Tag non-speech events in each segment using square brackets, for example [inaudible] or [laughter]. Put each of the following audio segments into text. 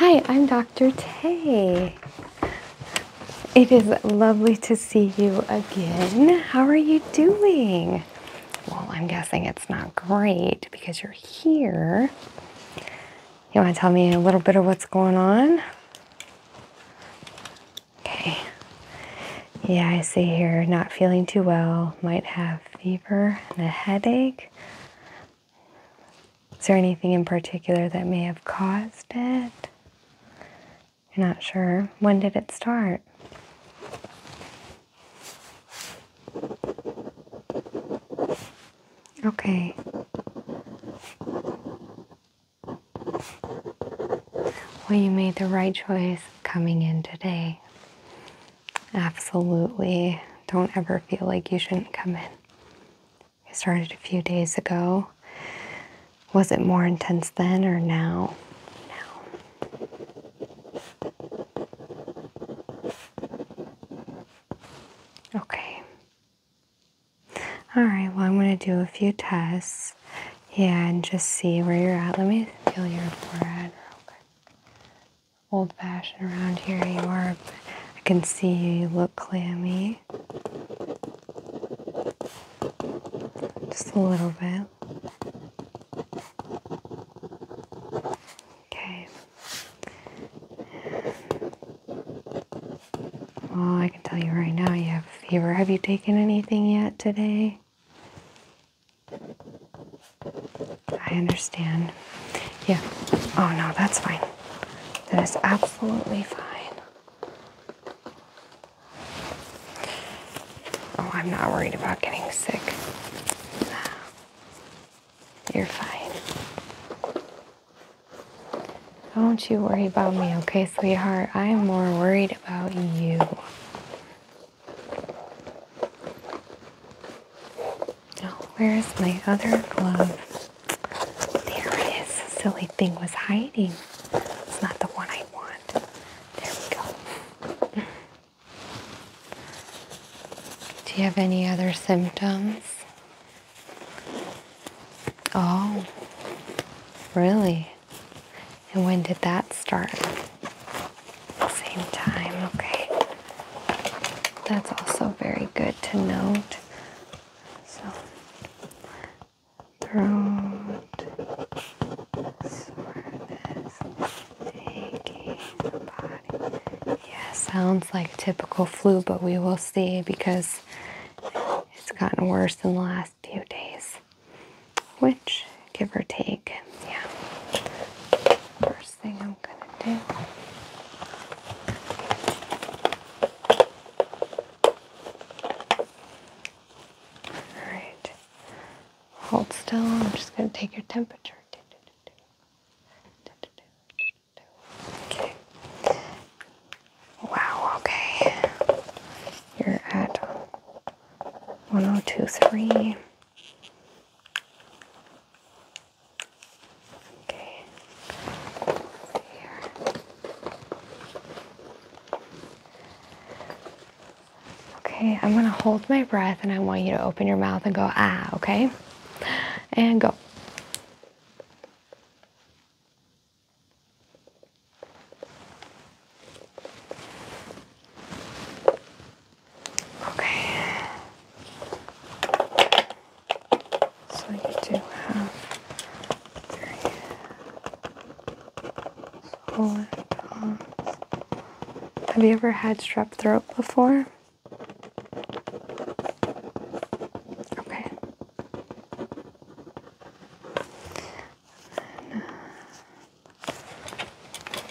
Hi, I'm Dr. Tay. It is lovely to see you again. How are you doing? Well, I'm guessing it's not great because you're here. You want to tell me a little bit of what's going on? Okay. Yeah, I see here, not feeling too well, might have fever and a headache. Is there anything in particular that may have caused it? You're not sure. When did it start? Okay. Well, you made the right choice coming in today. Absolutely. Don't ever feel like you shouldn't come in. It started a few days ago. Was it more intense then or now? Now. Okay. All right, well, I'm going to do a few tests. Yeah, and just see where you're at. Let me feel your forehead old-fashioned around here you are. I can see you, you look clammy. Just a little bit. Okay. Well, I can tell you right now you have fever. Have you taken anything yet today? I understand. Yeah. Oh no, that's fine. That is absolutely fine. Oh, I'm not worried about getting sick. You're fine. Don't you worry about me, okay, sweetheart? I am more worried about you oh, where's my other glove? There it is. silly thing was hiding. It's not the one I want. There we go. Do you have any other symptoms? Oh, really? And when did that start? same time, okay? That's also very good to note. So, throat soreness, aching body. Yeah, sounds like typical flu, but we will see because it's gotten worse in the last few days which, give or take, yeah. First thing I'm gonna do. All right. Hold still. I'm just gonna take your temperature. Okay. Wow, okay. You're at 1023. Okay. Here. Okay, I'm going to hold my breath and I want you to open your mouth and go ah, okay? And go. Okay. So you do have three solar palms. Have you ever had strep throat before? Okay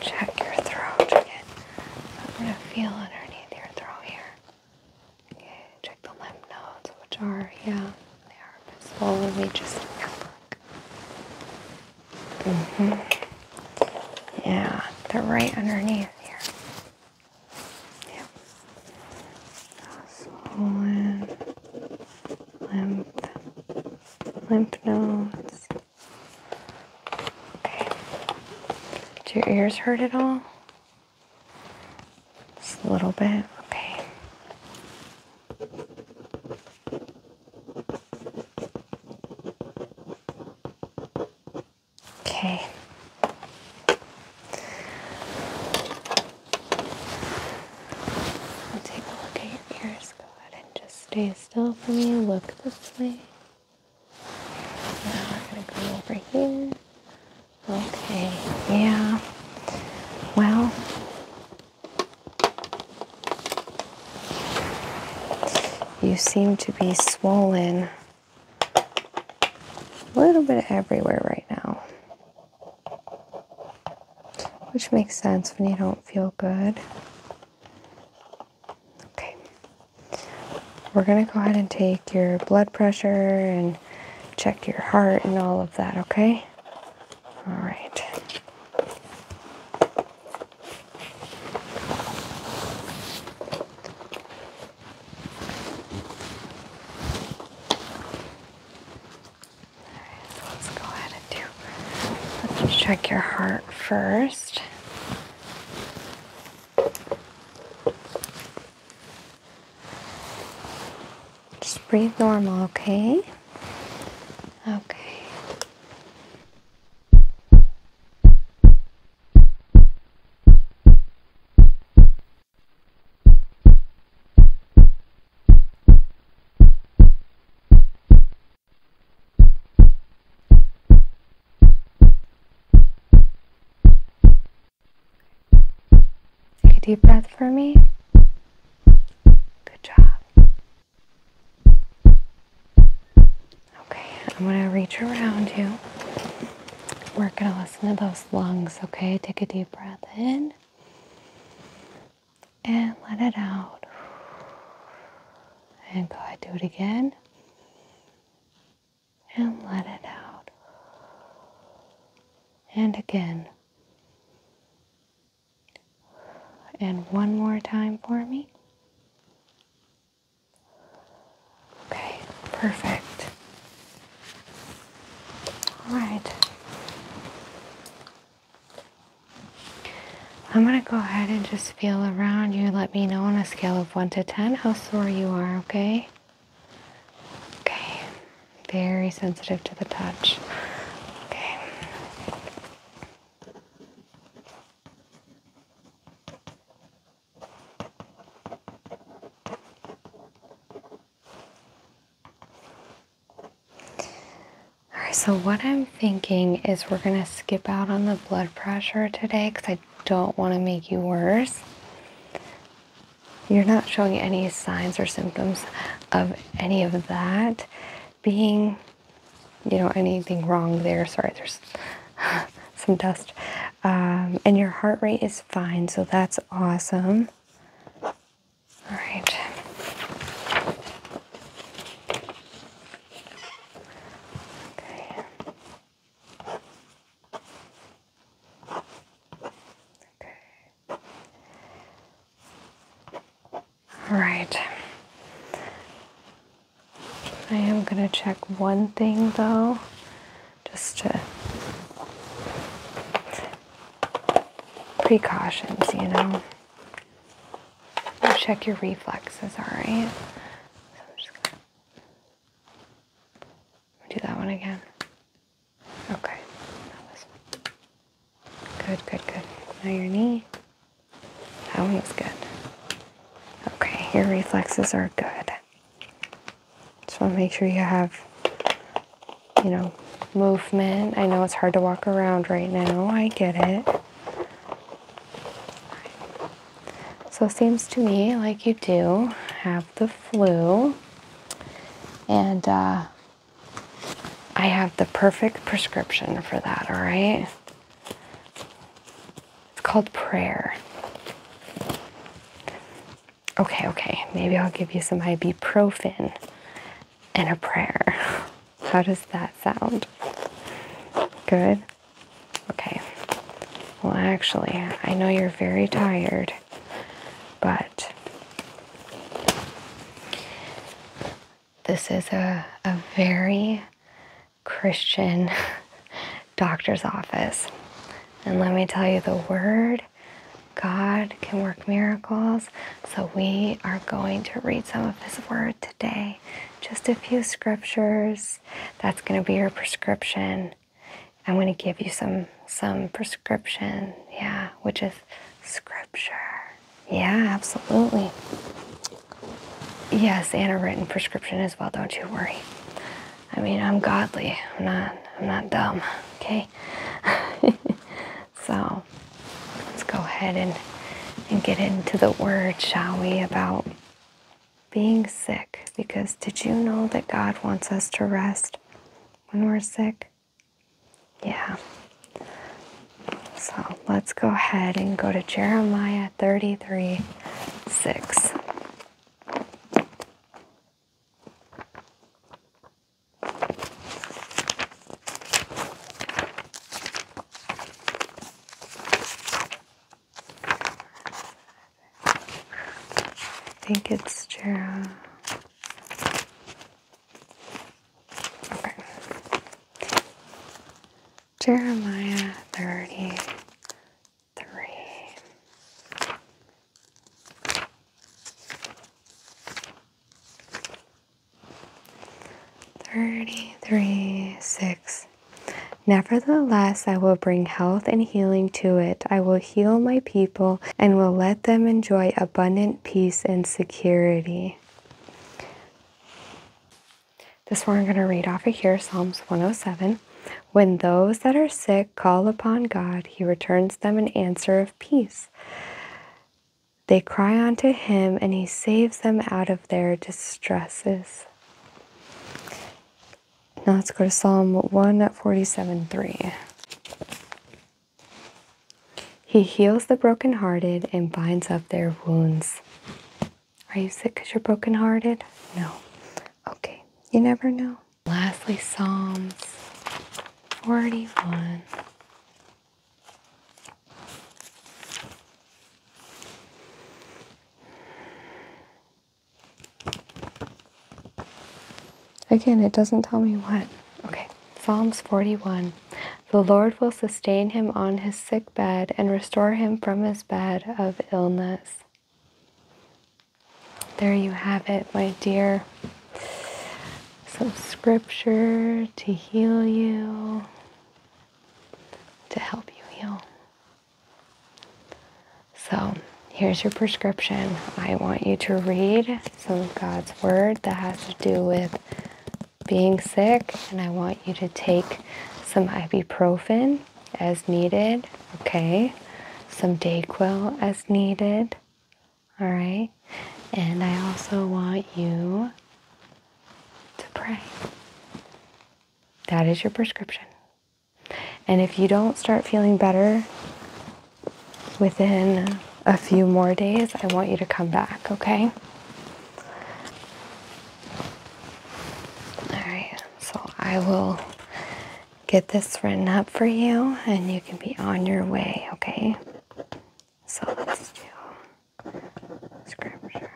check your throat again. I'm going to feel underneath your throat here. Okay, check the lymph nodes, which are, yeah, they are a bit swollen. We just look. Mm hmm Yeah, they're right underneath here. Yep. So lymph lymph nodes. Okay. Do your ears hurt at all? Just a little bit. Okay. Okay. We'll take a look at your ears. Go ahead and just Stay still for me. Look this way. Now we're going to go over here. Okay, yeah. Well, you seem to be swollen a little bit everywhere right now which makes sense when you don't feel good. Okay, we're going to go ahead and take your blood pressure and check your heart and all of that, okay? All right. Alright, so let's go ahead and do. Let's check your heart first. Just breathe normal, okay? Okay. Take a deep breath for me. Good job. Okay, I'm going to reach around you. We're going to listen to those lungs, okay? Take a deep breath in and let it out. And go ahead, do it again. And let it out. And again. And one more time for me. Okay, perfect. All right. I'm going to go ahead and just feel around you. Let me know on a scale of 1 to 10 how sore you are, okay? Okay. Very sensitive to the touch. Okay. All right, so what I'm thinking is we're going to skip out on the blood pressure today because I don't want to make you worse. You're not showing any signs or symptoms of any of that being, you know, anything wrong there. Sorry, there's [laughs] some dust. Um, and your heart rate is fine, so that's awesome. All right. Okay. Okay. All right. I am going to check one thing though, just to precautions, you know. check your reflexes, alright? do that one again. Okay. Good, good, good. Now your knee. That one was good. Okay, your reflexes are good. Just want to make sure you have, you know, movement. I know it's hard to walk around right now. I get it. So it seems to me like you do have the flu. And uh, I have the perfect prescription for that, all right? It's called prayer. Okay, okay, maybe I'll give you some ibuprofen and a prayer. [laughs] How does that sound? Good? Okay. Well, actually, I know you're very tired, but this is a, a very Christian [laughs] doctor's office. And let me tell you, the word God can work miracles. So we are going to read some of His Word today. Just a few scriptures. That's going to be your prescription. I'm going to give you some some prescription. Yeah, which is scripture. Yeah, absolutely. Yes, and a written prescription as well. Don't you worry. I mean, I'm godly. I'm not. I'm not dumb. Okay. [laughs] so let's go ahead and and get into the word, shall we? About being sick, because did you know that God wants us to rest when we're sick? Yeah. So let's go ahead and go to Jeremiah 33:6. I think it's Jera. Okay. Jeremiah 30, three. Thirty-three, six. Nevertheless, I will bring health and healing to it. I will heal my people and will let them enjoy abundant peace and security. This one I'm going to read off of here, Psalms 107. When those that are sick call upon God, he returns them an answer of peace. They cry unto him, and he saves them out of their distresses. Now let's go to Psalm 147 3. He heals the brokenhearted and binds up their wounds. Are you sick because you're brokenhearted? No. Okay. You never know. Lastly, Psalms 41. Again, it doesn't tell me what. Okay, Psalms 41. The Lord will sustain him on his sick bed and restore him from his bed of illness. There you have it, my dear. Some scripture to heal you, to help you heal. So, here's your prescription. I want you to read some of God's word that has to do with being sick, and I want you to take some ibuprofen as needed. Okay. Some Dayquil as needed. All right. And I also want you to pray. That is your prescription. And if you don't start feeling better within a few more days, I want you to come back, okay? All right. So I will get this written up for you and you can be on your way, okay? So let's do scriptures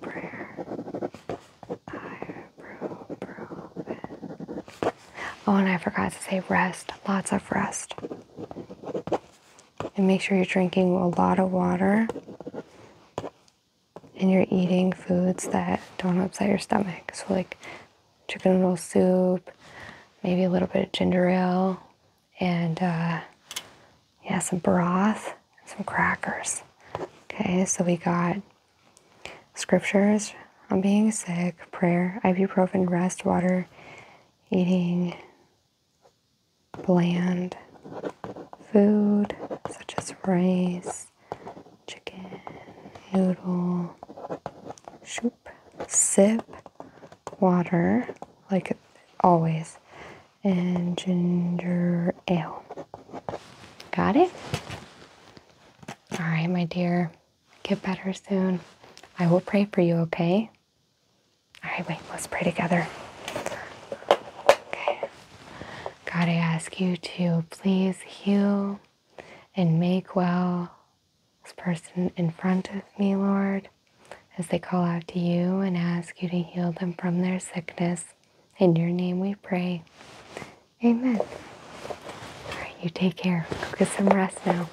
prayer. I approve, approve. Oh, and I forgot to say rest. Lots of rest. And make sure you're drinking a lot of water and you're eating foods that don't upset your stomach. So, like chicken noodle soup, maybe a little bit of ginger ale, and uh, yeah, some broth and some crackers. Okay, so we got scriptures on being sick, prayer, ibuprofen, rest, water, eating bland food such as rice, chicken, noodle, soup, sip water like always and ginger ale. Got it? All right, my dear. Get better soon. I will pray for you, okay? All right, wait, let's pray together. Okay. God, I ask you to please heal and make well this person in front of me, Lord, as they call out to you and ask you to heal them from their sickness. In your name we pray. Amen. All right, you take care. Go get some rest now.